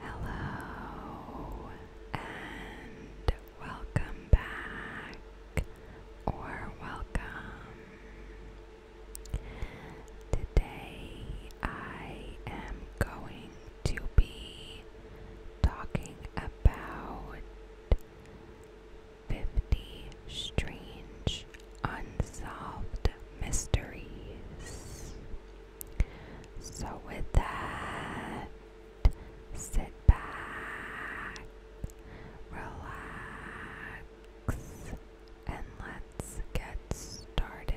Hello and welcome back or welcome. Today I am going to be talking about 50 strange unsolved mysteries. So, with that, sit back, relax, and let's get started.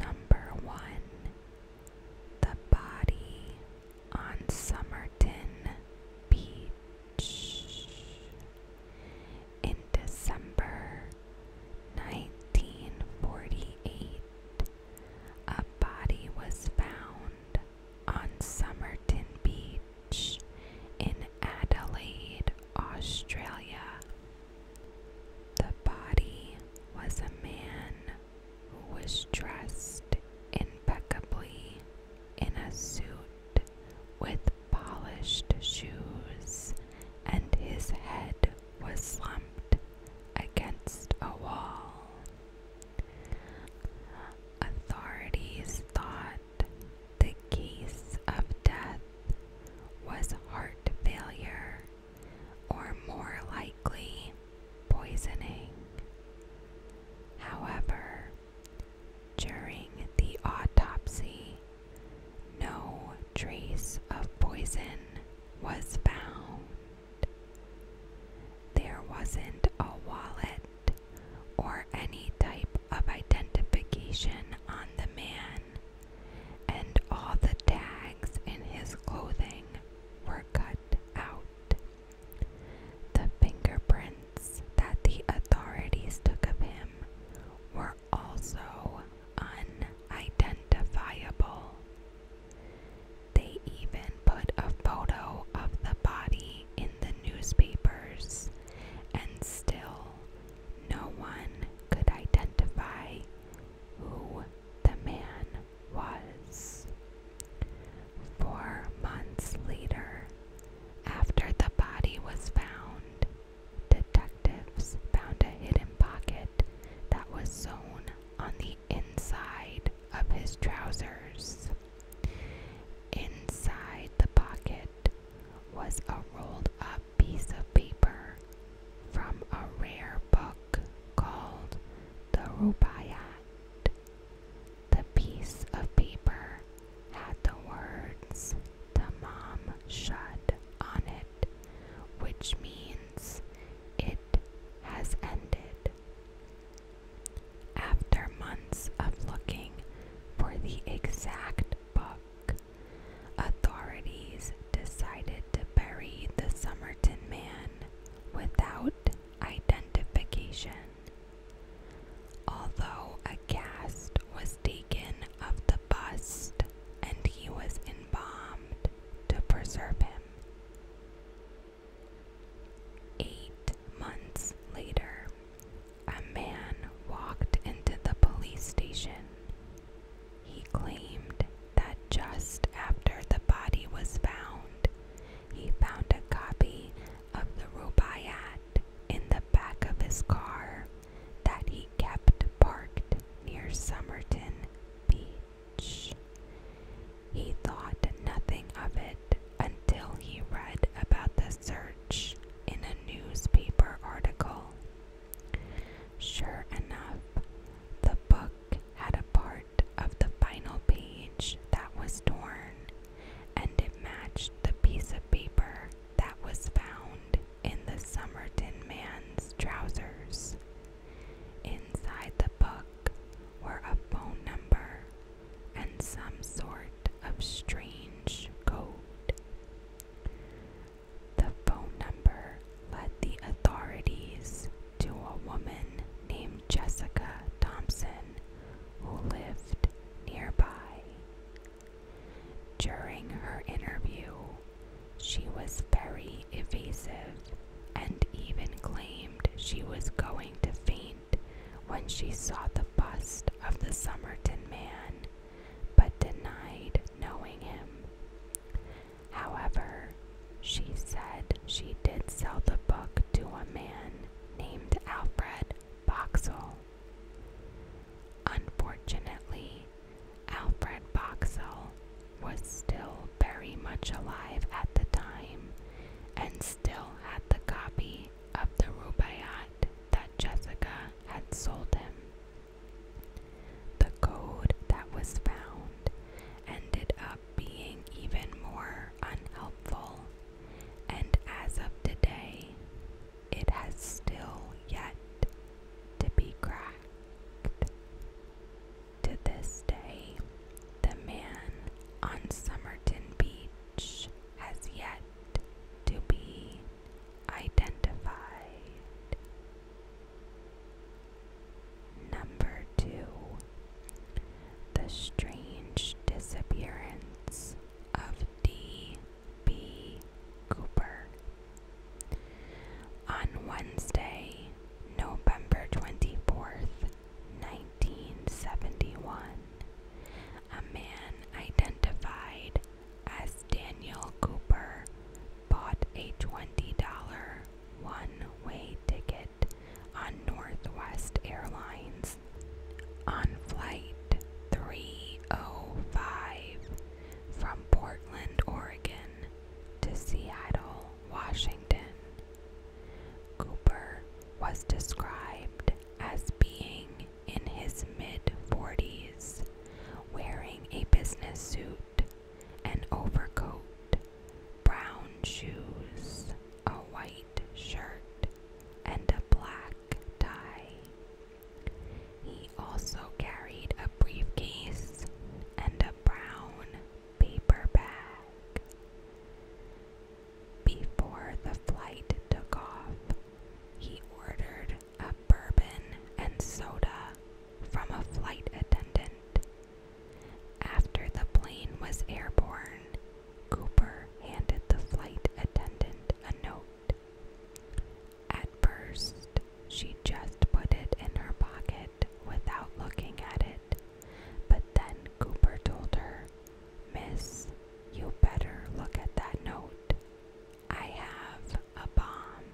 Number one, the body on Somerton Beach. In December 1948, a body was found on Somerton Beach in Adelaide, Australia. The body was a man who was dressed impeccably in a suit with polished shoes, and his head was slumped against a wall. Authorities thought the case of death was heart failure, or more likely, poisoning. However, during the autopsy, no trace of poison was found. There wasn't a wallet or any type of identification on the man, and all the tags in his clothing were cut out. The fingerprints that the authorities took of him were also unidentifiable. They even put a photo of the body in the newspapers, and still no one could identify who the man was. Four months later, after the body was found, detectives found a hidden pocket that was sewn on the inside of his trousers. Inside the pocket was a rolled up piece of paper from a rare book called the Rubaiyat. The piece of paper had the words Tamam shut on it, which means it has ended. After months of looking for the exact book, authorities decided to bury the Summerton man without identification. Although a cast was taken of the bust and he was embalmed to preserve him. Eight months later, a man walked into the police station. He claimed that just after the body was found, he found a copy of the Rubaiyat in the back of his car that he kept parked near Somerton Beach. He thought nothing of it until he read about the search in a newspaper article. Sure enough, the book had a part of the final page that was torn, and it matched the piece of paper that was found in the Somerton man's trousers. Inside the book were a phone number and some sort of strange code. The phone number led the authorities to a woman named Jessica Thompson who lived nearby. During her interview, she was very evasive and even claimed she was going to faint when she saw the bust of the Somerton man, but denied knowing him. However, she said she did sell the book to a man named Alfred Boxall, Unfortunately, Alfred Boxall was still very much alive at the time and still had the copy of the Rubaiyat that Jessica had sold him. The code that was found ended up being even more unhelpful, and as of today, it has still yet to be cracked. To this day, the man on Somerton Beach has yet to be identified. Number two, the strange disappearance of D. B. Cooper. On Wednesday, November 24th, 1971, a man identified as Daniel Cooper bought a $20 one way ticket on Northwest Airlines on Flight 305 from Portland, Oregon to Seattle, Washington. Cooper was described as being in his mid 40s, wearing a business suit, an overcoat, brown shoes, a white shirt, and a black tie. He also carried a briefcase and a brown paper bag. Before the flight took off, he ordered a bourbon and soda from a flight attendant. After the plane was airborne, Cooper handed the flight attendant a note. At first, she just put it in her pocket without looking at it, but then Cooper told her, Miss, you better look at that note. I have a bomb.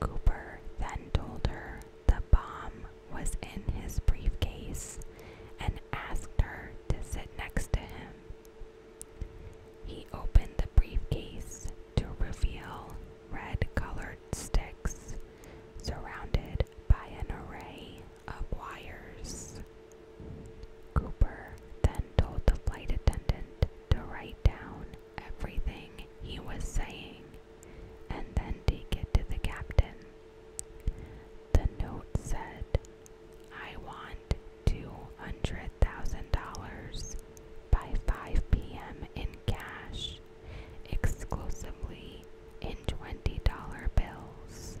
Cooper then told her the bomb was in his briefcase and asked her to sit next to him he opened the briefcase to reveal red colored sticks surrounded by an array of wires. Cooper then told the flight attendant to write down everything he was saying and then take it to the captain. The note said I want $200,000 by 5 p.m. in cash, exclusively in $20 bills,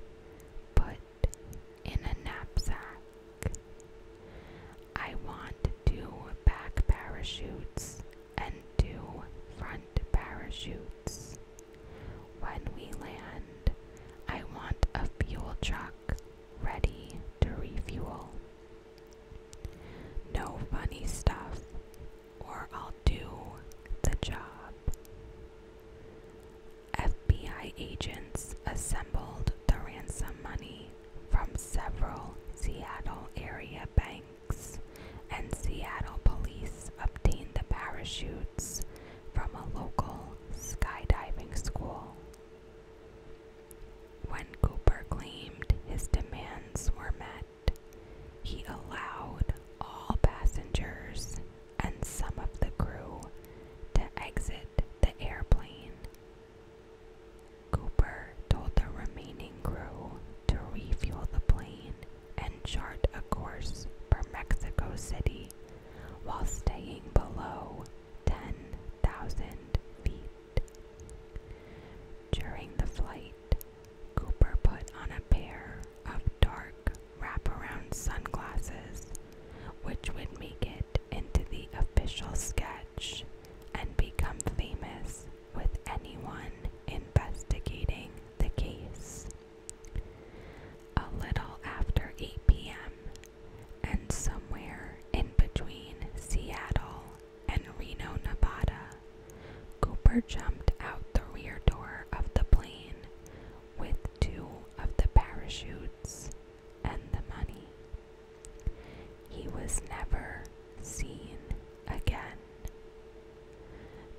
put in a knapsack. I want two back parachutes and two front parachutes. When we land, I want a fuel truck ready to refuel. No funny stuff, or I'll do the job. FBI agents assembled the ransom money from several Seattle area banks, and Seattle police obtained the parachutes from a local skydiving school. When Cooper claimed his demands were met, he allowed all passengers and some of the crew to exit the airplane. Cooper told the remaining crew to refuel the plane and chart a course for Mexico City while staying below 10,000 feet. During the flight, Cooper put on a pair of dark wraparound sunglasses, which would make it into the official sketch and become famous with anyone investigating the case. A little after 8 p.m., and somewhere in between Seattle and Reno, Nevada, Cooper jumped out the rear door of the plane with two of the parachutes and the money. He was never seen again.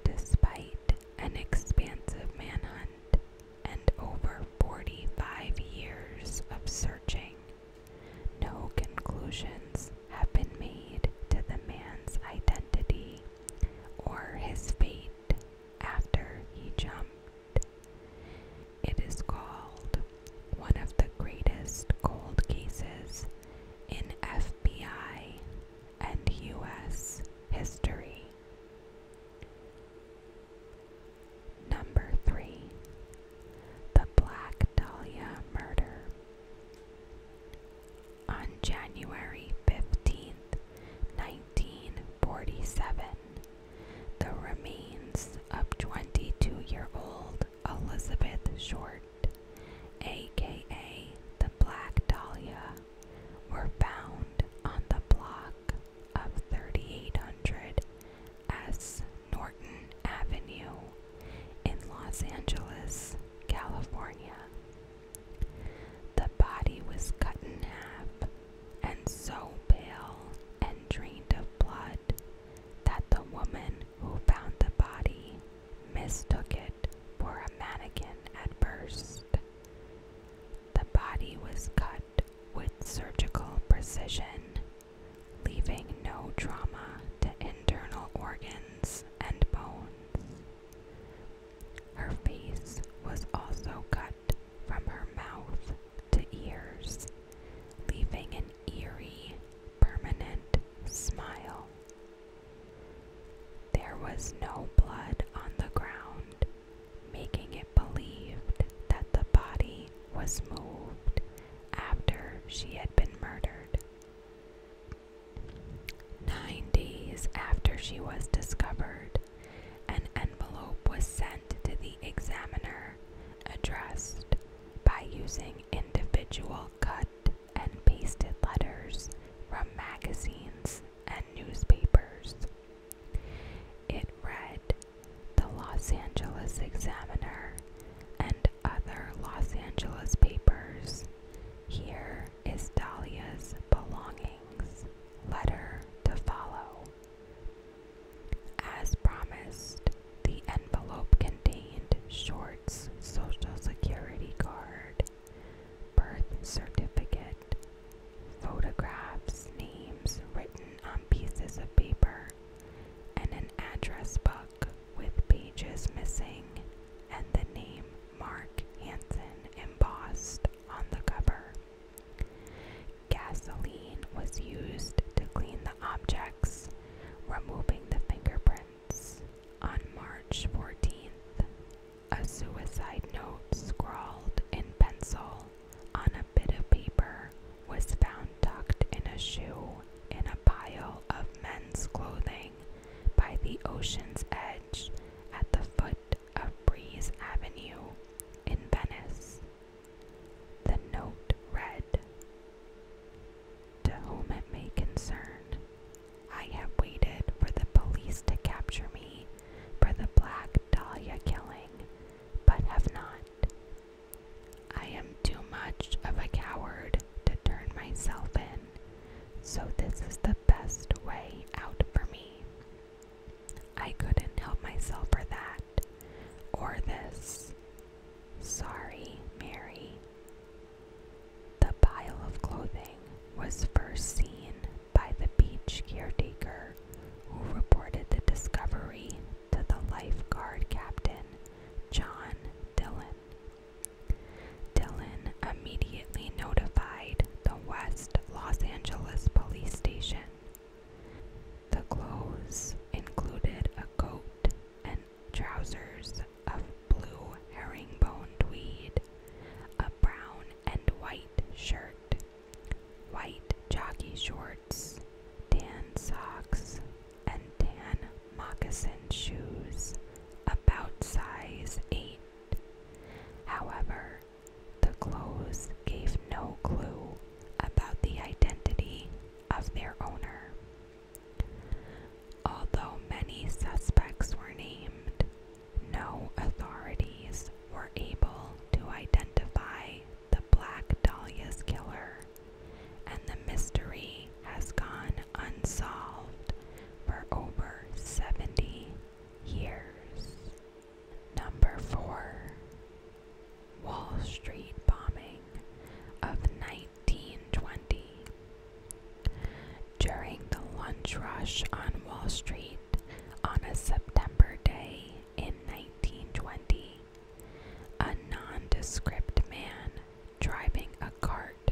Despite an expansive manhunt, and over 45 years of searching, no conclusions have been made to the man's identity or his fate after he jumped. It is called one of the greatest cold cases in FBI and U.S. history. Number 3. The Black Dahlia Murder. On January fifteenth, 1947, the remains of 22 year old Elizabeth Short, aka the Black Dahlia, were found on the block of 3800 S Norton Avenue in Los Angeles, California. The body was cut in half and so pale and drained of blood that the woman who found the body mistook it for a mannequin at first. The body was cut with surgical precision, leaving no trauma to internal organs and bones. Her face was also cut from her mouth to ears, leaving an eerie, permanent smile. There was no blood on the ground, making it believed that the body was moved after she had been murdered. Nine days after she was discovered, an envelope was sent to the examiner addressed by using individual cut and pasted letters from magazines and newspapers. It read The Los Angeles Examiner and other Los Angeles papers. Here is Dahlia's belongings. Letter to follow. As promised, the envelope contained Short's social security card, birth certificate, photographs, names written on pieces of paper, and an address book with pages missing and the name Mark Hansen embossed on the cover. Gasoline was used to clean the objects, removing the fingerprints. On March 14th, a suicide note scrawled in pencil on a bit of paper was found tucked in a shoe in a pile of men's clothing by the ocean's edge at the foot of Breeze Avenue in Venice. The note read To whom it may concern, I have waited for the police to capture me for the Black Dahlia killing, but have not. I am too much of a coward to turn myself in, so this is the best way out for me. I couldn't help myself for that, or this. Sorry, Mary. The pile of clothing was first seen by the beach caretaker, who reported the discovery to the lifeguard captain, John Dillon. Dillon immediately notified the West Los Angeles police station. The clothes included a coat and trousers of blue herringbone tweed, a brown and white shirt, white jockey shorts, tan socks, and tan moccasin shoes, about size 8. However, the clothes gave no clue about the identity of their owner. Although many suspects were named, no authorities were able to identify the Black Dahlia's killer, and the mystery has gone unsolved for over 70 years. Number 4 Wall Street bombing of 1920. During the lunch rush on Wall Street on a September day in 1920. A nondescript man driving a cart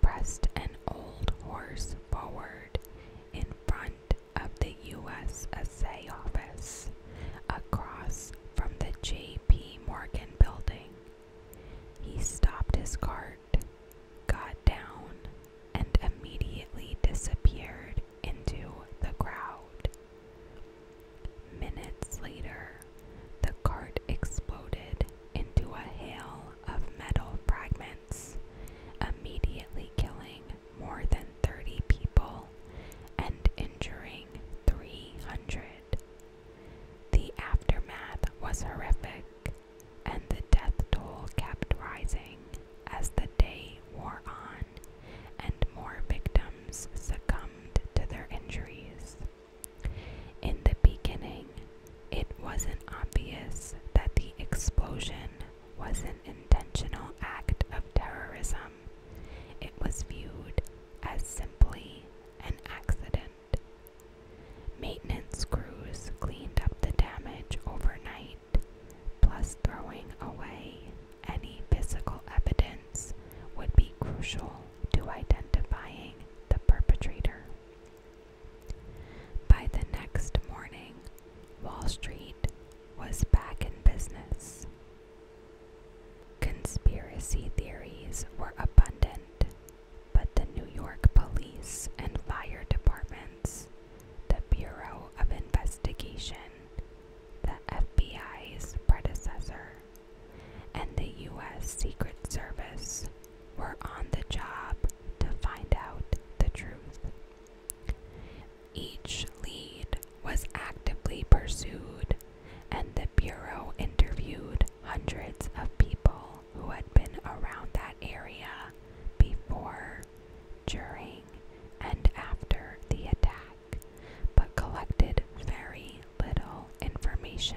pressed an old horse forward in front of the USSA office across from the J.P. Morgan building. He stopped his cart, got down, and immediately disappeared into the crowd. Minutes later, the cart exploded into a hail of metal fragments, immediately killing more than 30 people and injuring 300. The aftermath was horrific, and the death toll kept rising as the day wore on and more victims succumbed to their injuries. In the beginning, it wasn't obvious that the explosion was an intentional act of terrorism. It was viewed as simply an accident. Maintenance crews cleaned up the damage overnight plus throwing away any physical evidence would be crucial to identifying the perpetrator. By the next morning, Wall Street was back in business. Conspiracy theories were abundant, but the New York police and fire departments the Bureau of Investigation, the FBI's predecessor, and the U.S. Secret Service were on the job to find out the truth. Each lead was actively pursued, and the Bureau interviewed hundreds of people who had been around that area before during, and after the attack, but collected very little information.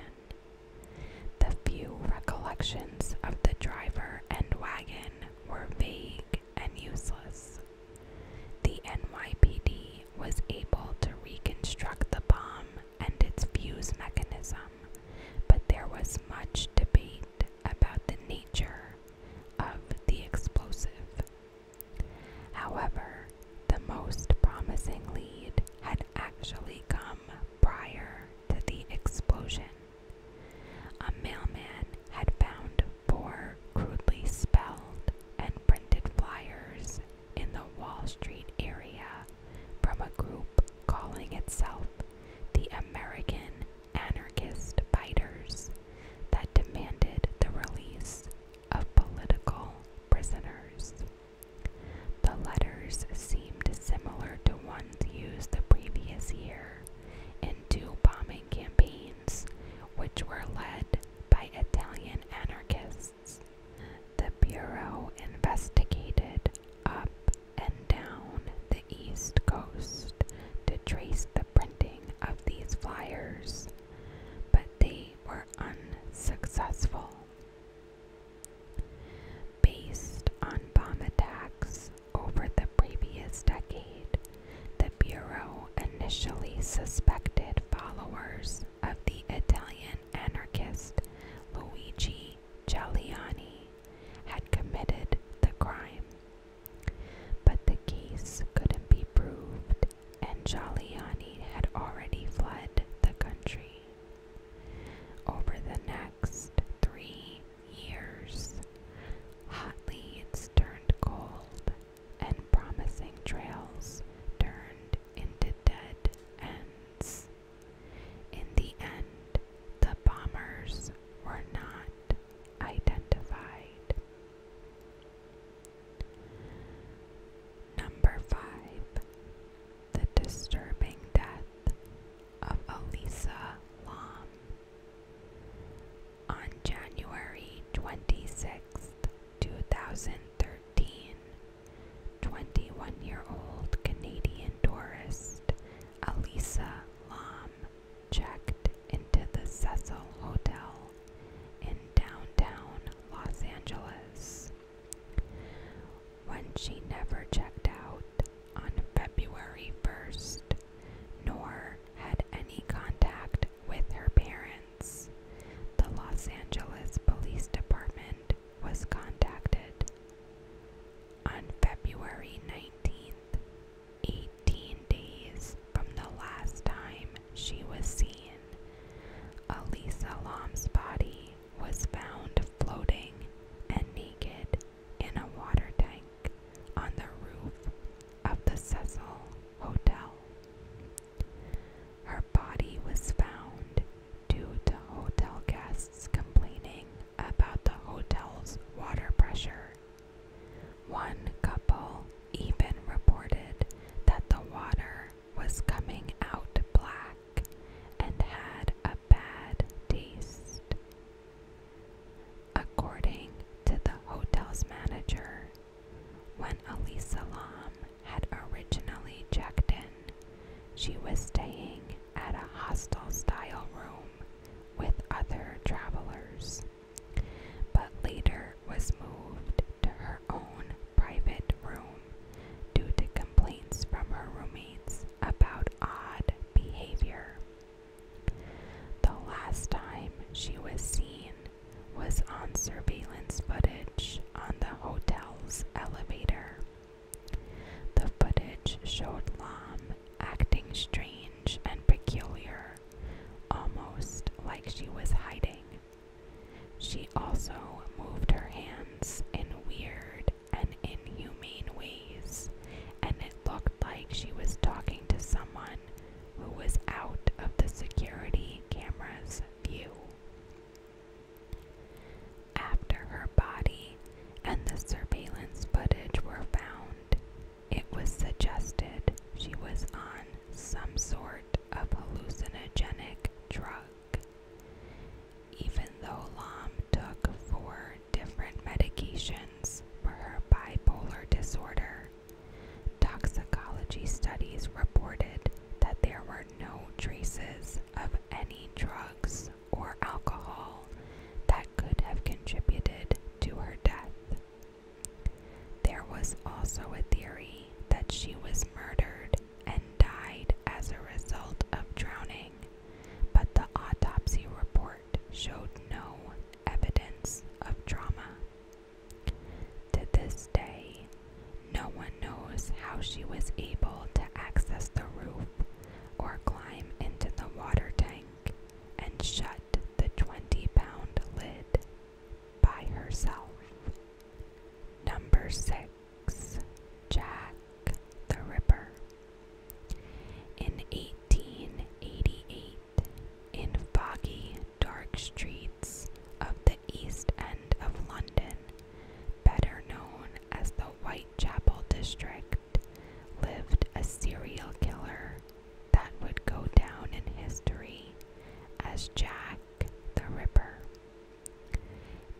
The few recollections of the driver and wagon were vague and useless. The NYPD was able to reconstruct the bomb and its fuse mechanism, but there was much debate about the nature of the explosive. However, the most promising lead had actually come prior to the explosion. A mailman had found four crudely spelled and printed flyers in the Wall Street area from a group calling itself the American anarchist fighters that demanded the release of political prisoners. The letters seemed similar to ones used the previous year in two bombing campaigns, which were led by Italian anarchists. The Bureau investigated up and down the East Coast to trace the printing of these flyers, but they were unsuccessful. Based on bomb attacks over the previous decade, the Bureau initially suspected followers of the Italian anarchist Luigi Giuliani had committed the crime. But the case couldn't be proved, and Giuliani had already fled the country. Over the next three years, hot leads turned cold, and promising trails turned into dead ends. In the end, the bombers were not identified. Number 5. The disturbing death of Elisa Lam. On January twenty-sixth, 2013, 21 year old Canadian tourist Elisa Lam checked into the Cecil Hotel in downtown Los Angeles. When she never checked out on February 1st, nor had any contact with her parents, the Los Angeles Police Department was contacted. On February 19th, 18 days from the last time she was seen, Elisa Lam's body was found floating and naked in a water tank on the roof of the Cecil Hotel. Her body was found due to hotel guests complaining about the hotel's water pressure one couple even reported that the water was coming out black and had a bad taste. According to the hotel's manager, when Elisa Lam had originally checked in, she was staying at a hostel style room with other travelers but later was moved to her own private room due to complaints from her roommates about odd behavior. The last time she was seen was on surveillance footage on the hotel's elevator. The footage showed Lam acting strange and peculiar almost like she was hiding. She also moved her hands in weird and inhumane ways, and it looked like she was talking to someone who was out of the security camera's view. After her body and the surveillance footage were found, it was suggested she was on some sort of hallucinogenic drug. Even though Lam took four different medications for her bipolar disorder, toxicology studies reported that there were no traces of any drugs or alcohol that could have contributed to her death. There was also a theory that she was murdered and died as a result of drowning, but the autopsy report showed no evidence of trauma. To this day, no one knows how she was able to access the roof or climb into the water tank and shut the twenty pound lid by herself. Number six, Jack the Ripper. In 1888, in foggy, dark streets of the East End of London, better known as the Whitechapel district, lived a serial killer that would go down in history as Jack the Ripper.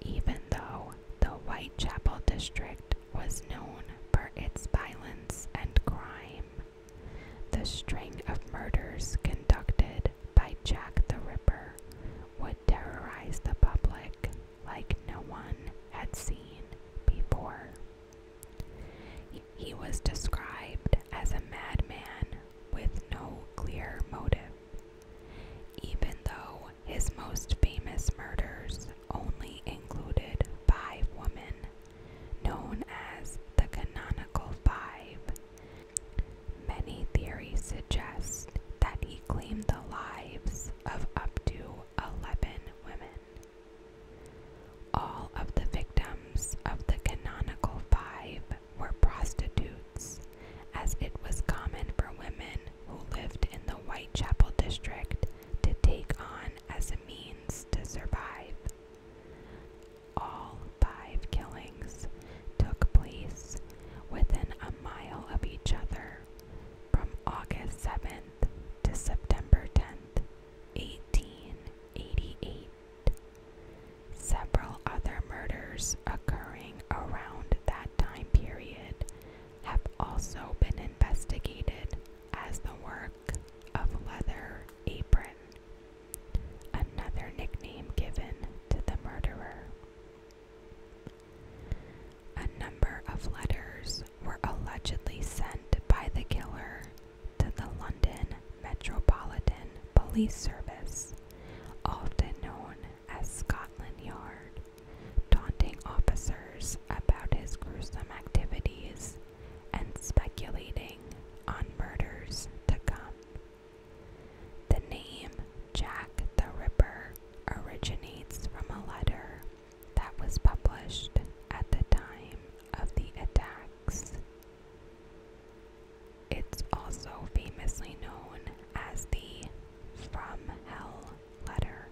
Even though the Whitechapel district was known for its violence and crime, the string of murders conducted by Jack the Ripper would terrorize the public like no one had seen before. He was described as a madman with no clear motive, even though his most famous murders only included five women, known as the Canonical Five. Many theories suggest that he claimed the lives of up to 11 women. All of the victims of the canonical five were prostitutes, as it was common for women who lived in the Whitechapel district to take on as a means to survive. All five killings took place within a mile of each other from August 7th to September 10th, 1888. Several other murders occurring around that time period have also been investigated as the work of Leather Apron, another nickname given to the murderer. A number of letters were allegedly sent by the killer to the London Metropolitan Police Service, often known as Scotland Yard, taunting officers about his gruesome activities and speculating on murders to come. The name Jack the Ripper originates from a letter that was published at the time of the attacks. It's also famously known as the From Hell letter.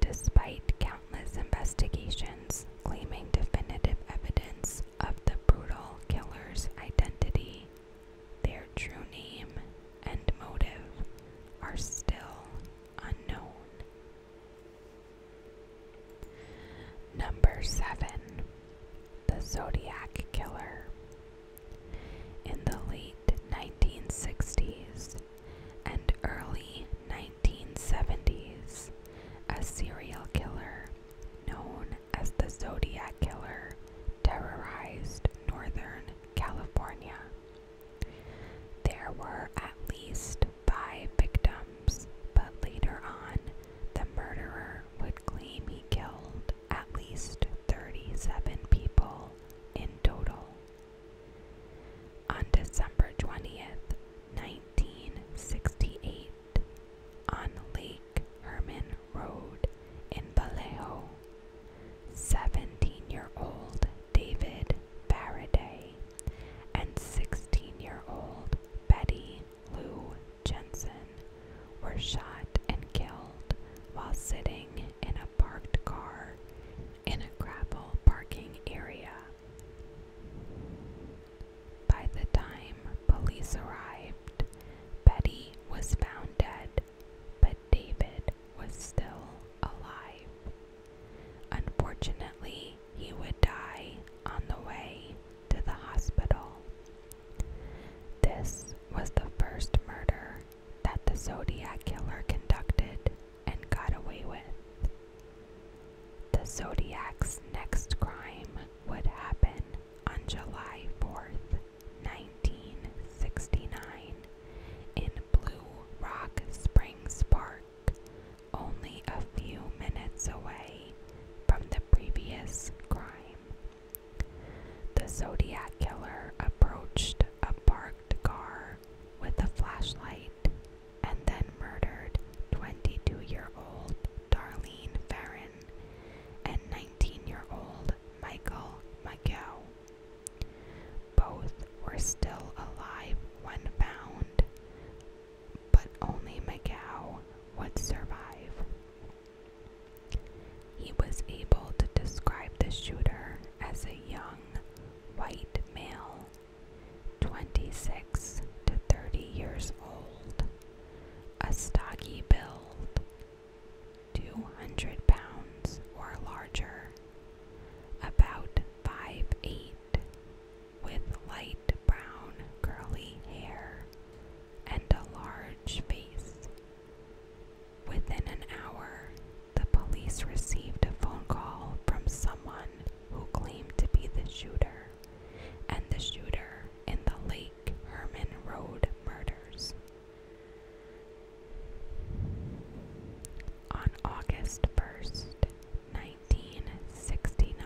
Despite countless investigations claiming definitive evidence of the brutal killer's identity, their true name and motive are still unknown. Number 7. The Zodiac Killer. In the late 1960s and early 1970s, a serial killer known as the Zodiac Killer terrorized Northern California. There were at least five victims, but later on, the murderer would claim he killed at least 37 people in total. On December 20th, 1968, on Lake Herman Road in Vallejo, 17 year old David Faraday and 16 year old Betty Lou Jensen were shot and killed while sitting in a parked car in a gravel parking area. By the time police arrived, Betty was found dead, but David was still alive. Unfortunately, he would die on the way to the hospital. This was the first murder that the Zodiac Killer conducted and got away with. The Zodiac's next crime would happen on July 4th, 1969, in Blue Rock Springs Park only a few minutes away from the previous crime. The Zodiac killer approached a parked car with a flashlight and then murdered 22 year old Darlene Farron and 19 year old Michael McGill. Both were still alive when found, but only Macau would survive. He was able to describe the shooter as a young white male, 26 to 30 years old, a stocky build, 200 pounds or larger, about 5'8 with light brown curly hair and a large face. Within an hour, the police received a phone call from someone who claimed to be the shooter and the shooter in the Lake Herman Road murders. On August 1st, 19 1969,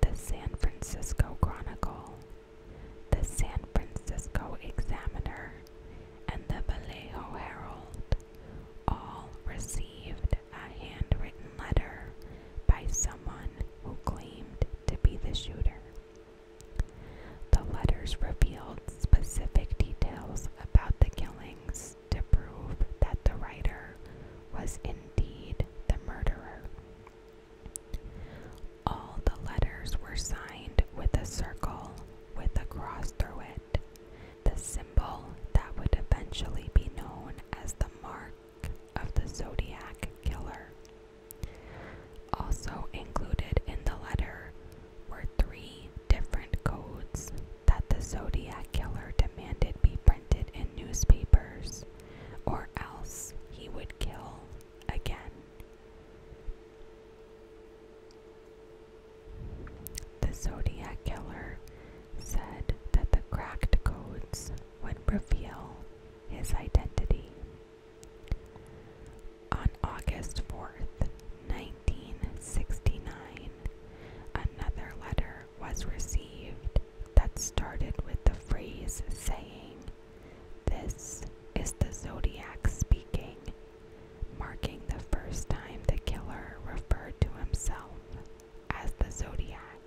the San Francisco Chronicle, the San Francisco Examiner, and the Vallejo Herald all received a handwritten letter by someone who claimed to be the shooter. The letters revealed specific details about the killings, to prove that the writer was indeed the murderer. All the letters were signed with a circle with a cross through it, the symbol that would eventually be known as the mark of the Zodiac Killer. Also included in the letter were three different codes that the Zodiac Killer demanded be printed in newspapers, or else he would kill again. The Zodiac Killer said that the cracked codes would reveal his identity. On August 4th, 1969, Another letter was received that started with the phrase saying, This is the Zodiac speaking, marking the first time the killer referred to himself as the Zodiac.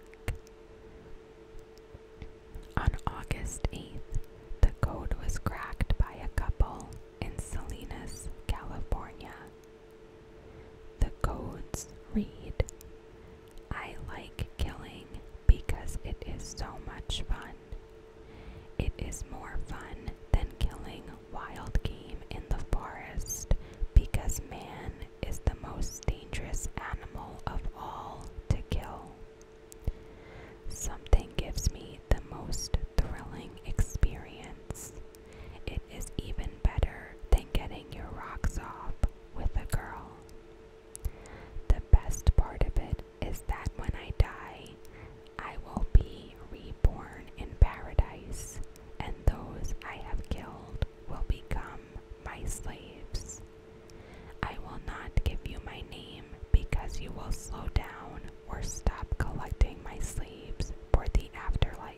On August 8th, the code was cracked by a couple in Salinas, California. The codes read I like killing because it is so much fun. It is more fun than killing wild game in the forest because man is the most dangerous animal of all to kill. Something gives me the most thrilling experience. It is even better than getting your rocks off with a girl. The best part of it is that when I die, I will be reborn in paradise, and those I have killed will become my slaves. I will not give you my name because you will slow down or stop collecting my slaves for the afterlife.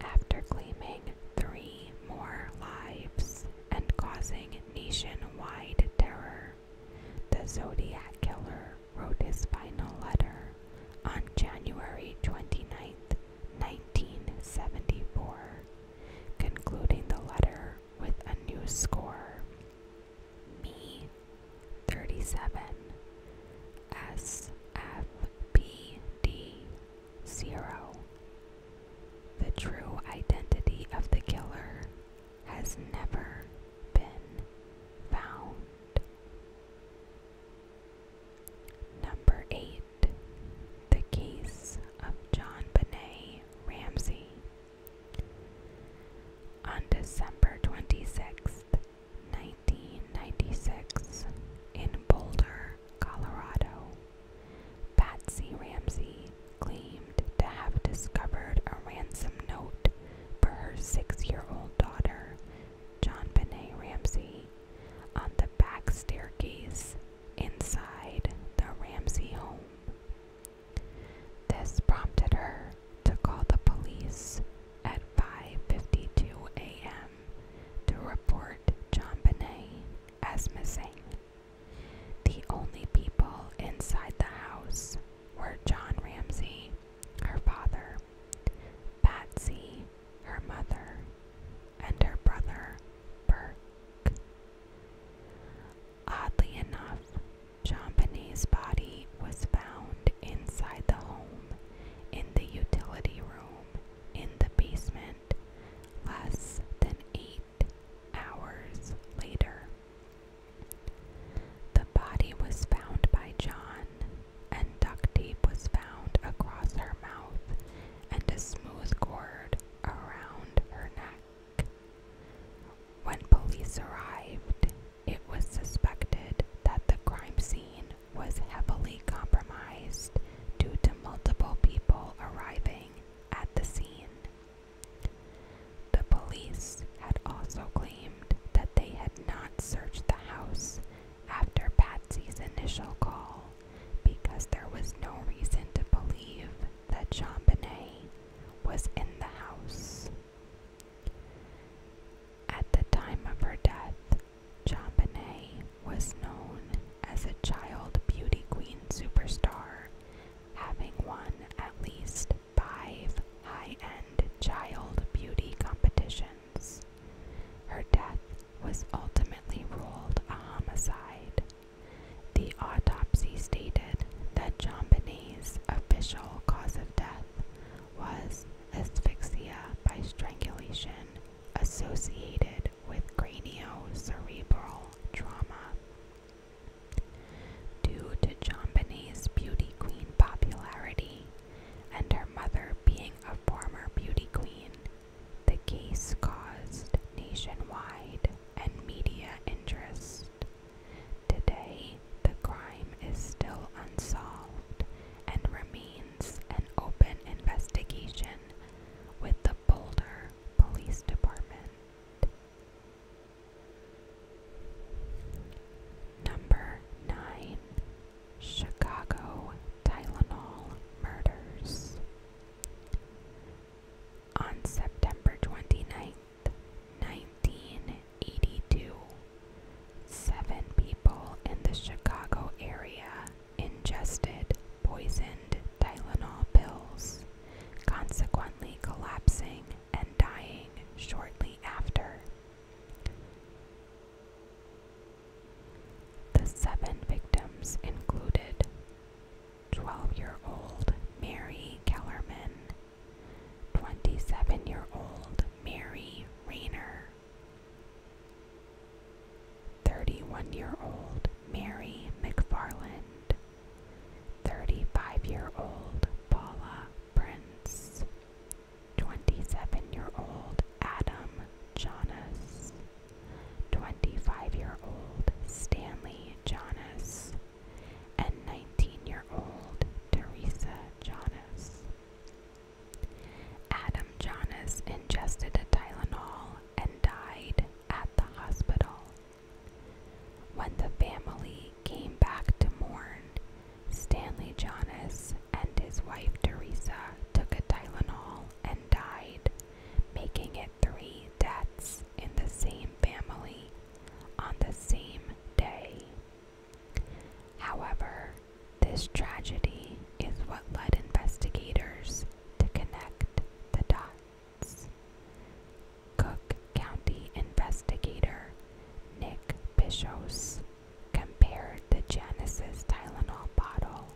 After claiming three more lives and causing nationwide terror, the Zodiac Killer wrote his final letter on January 29, 1974, concluding the letter with a new score me 37 SFPD 0. The true identity of the killer has never been found. Number 8. The case of John Benet Ramsey. On December 26, 1996, in Boulder, Colorado, Patsy Ramsey claimed to have discovered a ransom note for her six year old daughter, John Benet Ramsey, on the back staircase inside the Ramsey home. This prompted her to call the police at 5:52 a.m. to report John Bonet as missing. The only people inside the house were John Ramsey, her father, Patsy, her mother, and her brother, Burke. Oddly enough, Champagny's body was found inside the home, in the utility room, in the basement, less than eight hours later. The body was found by John, and duct tape was found across her mouth and a smooth cord around her neck. When police arrived, it was suspected that the crime scene was heavily compromised due to multiple people arriving at the scene. The police had also claimed that they had not searched the house after Patsy's initial call because there was no reason to believe that Jean Bonnet was in the house. At the time of her death, Champanay was known as a child beauty queen superstar, having won at least five high-end child beauty competitions. Her death was ultimately ruled a homicide. The autopsy stated that Champanay's official cause of death was asphyxia by strangulation associated with cranio cerebral trauma. Due to Chambini's beauty queen popularity and her mother being a former beauty queen, the case caused nationwide and media interest. Today, the crime is still unsolved and remains an open investigation with the Boulder Police Department. Number 9 Chicago Tylenol Murders. On September 29, 1982. Seven people in the Chicago area ingested poisoned Tylenol pills, consequently collapsing and dying shortly after. The seven victims included 12 year old Mary Kellerman 27 year old Mary Rayner. 31 year old Mary McFarland. 35 year old Paula Prince. 27 year old Adam Jonas. 25 year old Stanley Jonas and 19-year-old Teresa Jonas. Adam Jonas ingested a Tylenol and died at the hospital. When the family came back to mourn, Stanley Jonas and his wife Teresa took a Tylenol and died, making it three deaths in the same family on the same day. However, this tragedy is what led investigators to connect the dots. Cook County investigator Nick Bishos compared the Janice's Tylenol bottle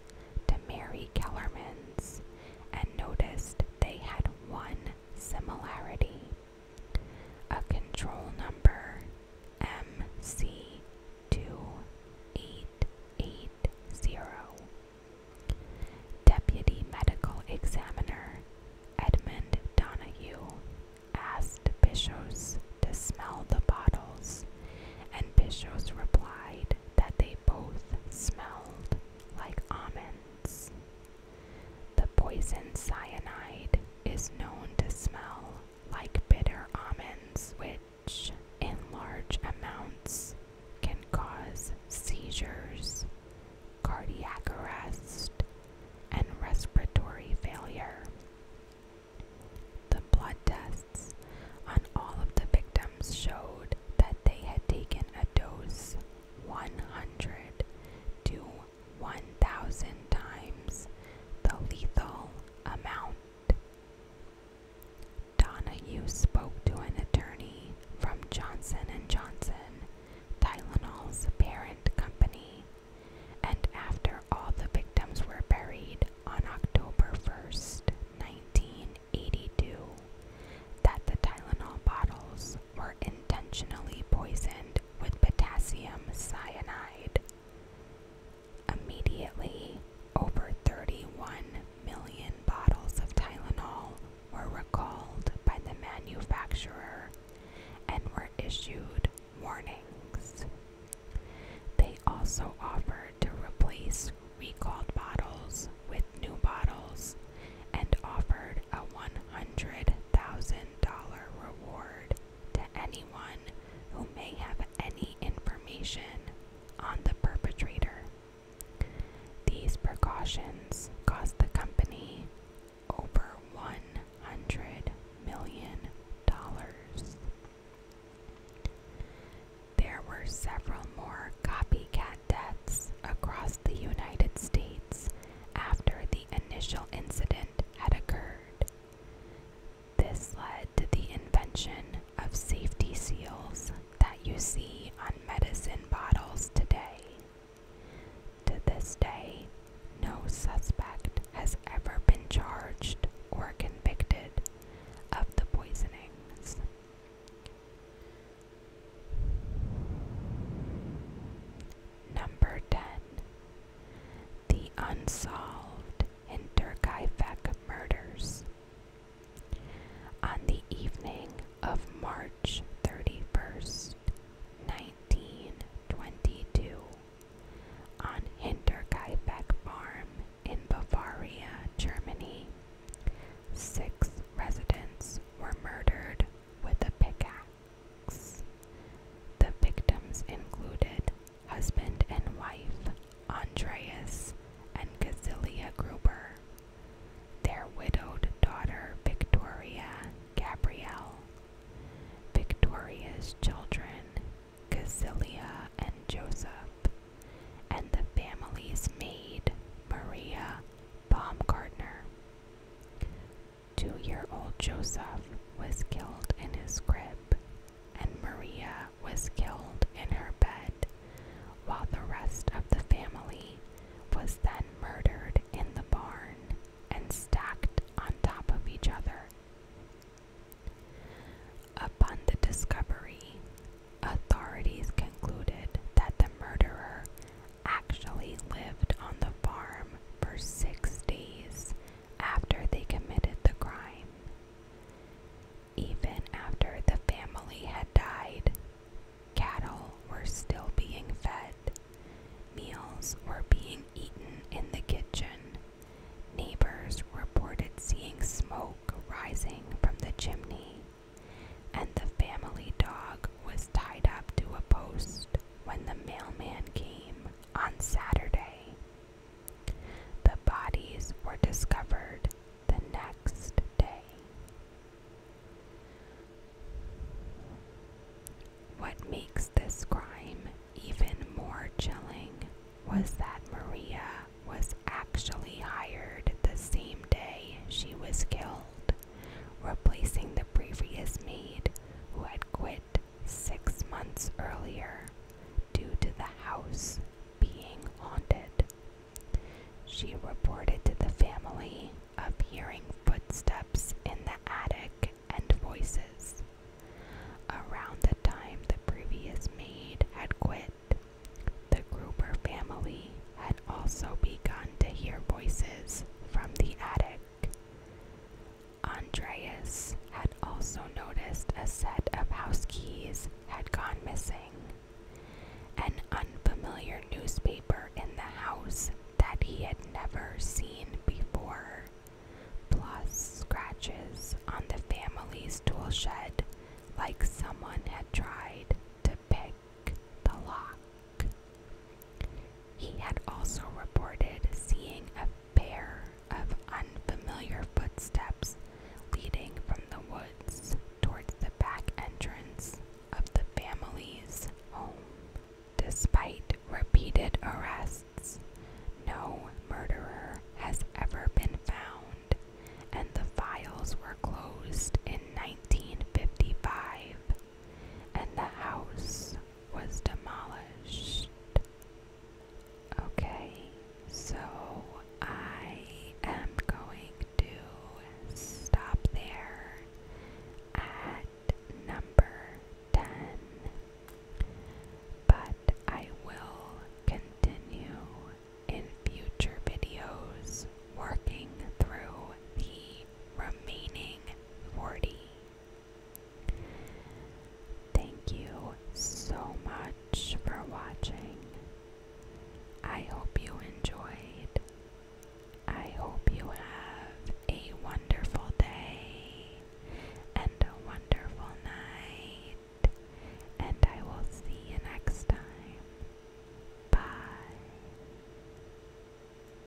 to Mary Kellerman's and noticed they had one similarity. A control number MC2880. Deputy Medical Examiner Edmund Donahue asked Bishos to smell the bottles, and Bishos replied that they both smelled like almonds. The poison cyanide is known to smell like bitter almonds, which, in large amounts, can cause seizures, cardiac arrest, and respiratory failure. The blood tests on all of the victims showed that they had taken a dose 100 to 1,000 times the lethal amount. Donna, you spoke to an attorney from Johnson & Johnson, Tylenol's parent company, and after all the victims were buried on October 1st, 1982, that the Tylenol bottles were intentionally poisoned with potassium cyanide. Immediately, over 31 million bottles of Tylenol were recalled by the manufacturer and were issued warnings. They also offered to replace recalled bottles with new bottles and offered a $100,000 reward to anyone who may have any information on the perpetrator. These precautions cost the company over $100 million. There were several more copycat deaths across the United States after the initial incident had occurred. This led to the invention of safety seals that you see on medicine bottles today. To this day, no suspect has ever been charged or convicted of the poisonings. Number 10 The Unsolved Hinterkaifeck Murders. On the evening of March 31st, 1922, on Hinterkaifeck Farm in Bavaria, Germany, six residents were murdered with a pickaxe. The victims included husband and wife Andreas and Casilia Gruber, their widowed daughter Victoria Gabrielle, Victoria's children Casilia and Joseph, and the family's maid Maria Baumgartner. Two year old Joseph was killed in his crib, and Maria was killed in her bed, while the rest of the family was then murdered in the barn and stacked on top of each other. Upon the discovery, authorities concluded that the murderer actually lived on the farm for six days after they committed the crime. Even after the family had died, cattle were still being fed, meals were being eaten in the kitchen, neighbors reported seeing smoke rising from the chimney, and the family dog was tied up to a post when the mailman came on Saturday. The bodies were discovered the next day. What makes this crime even more chilling was that Maria was actually hired the same day she was killed replacing the previous maid who had quit six months earlier due to the house being haunted. She reported to the family of hearing footsteps in the attic and voices. Around the time the previous maid had quit, the Gruber family had also begun to hear voices from the attic. Andreas had also noticed a set of house keys had gone missing. An unfamiliar newspaper in the house that he had never seen before, plus scratches on the family's tool shed like someone had tried to pick the lock. He had also reported seeing a pair of unfamiliar footsteps leading from the woods towards the back entrance of the family's home. Despite repeated arrests, no murderer has ever been found, and the files were closed in 1955, and the house was demolished. Okay, so I am going to stop there at number 10, but I will continue in future videos working through the remaining 40. Thank you so much for watching. I hope you enjoyed. I hope you have a wonderful day and a wonderful night. And I will see you next time. Bye.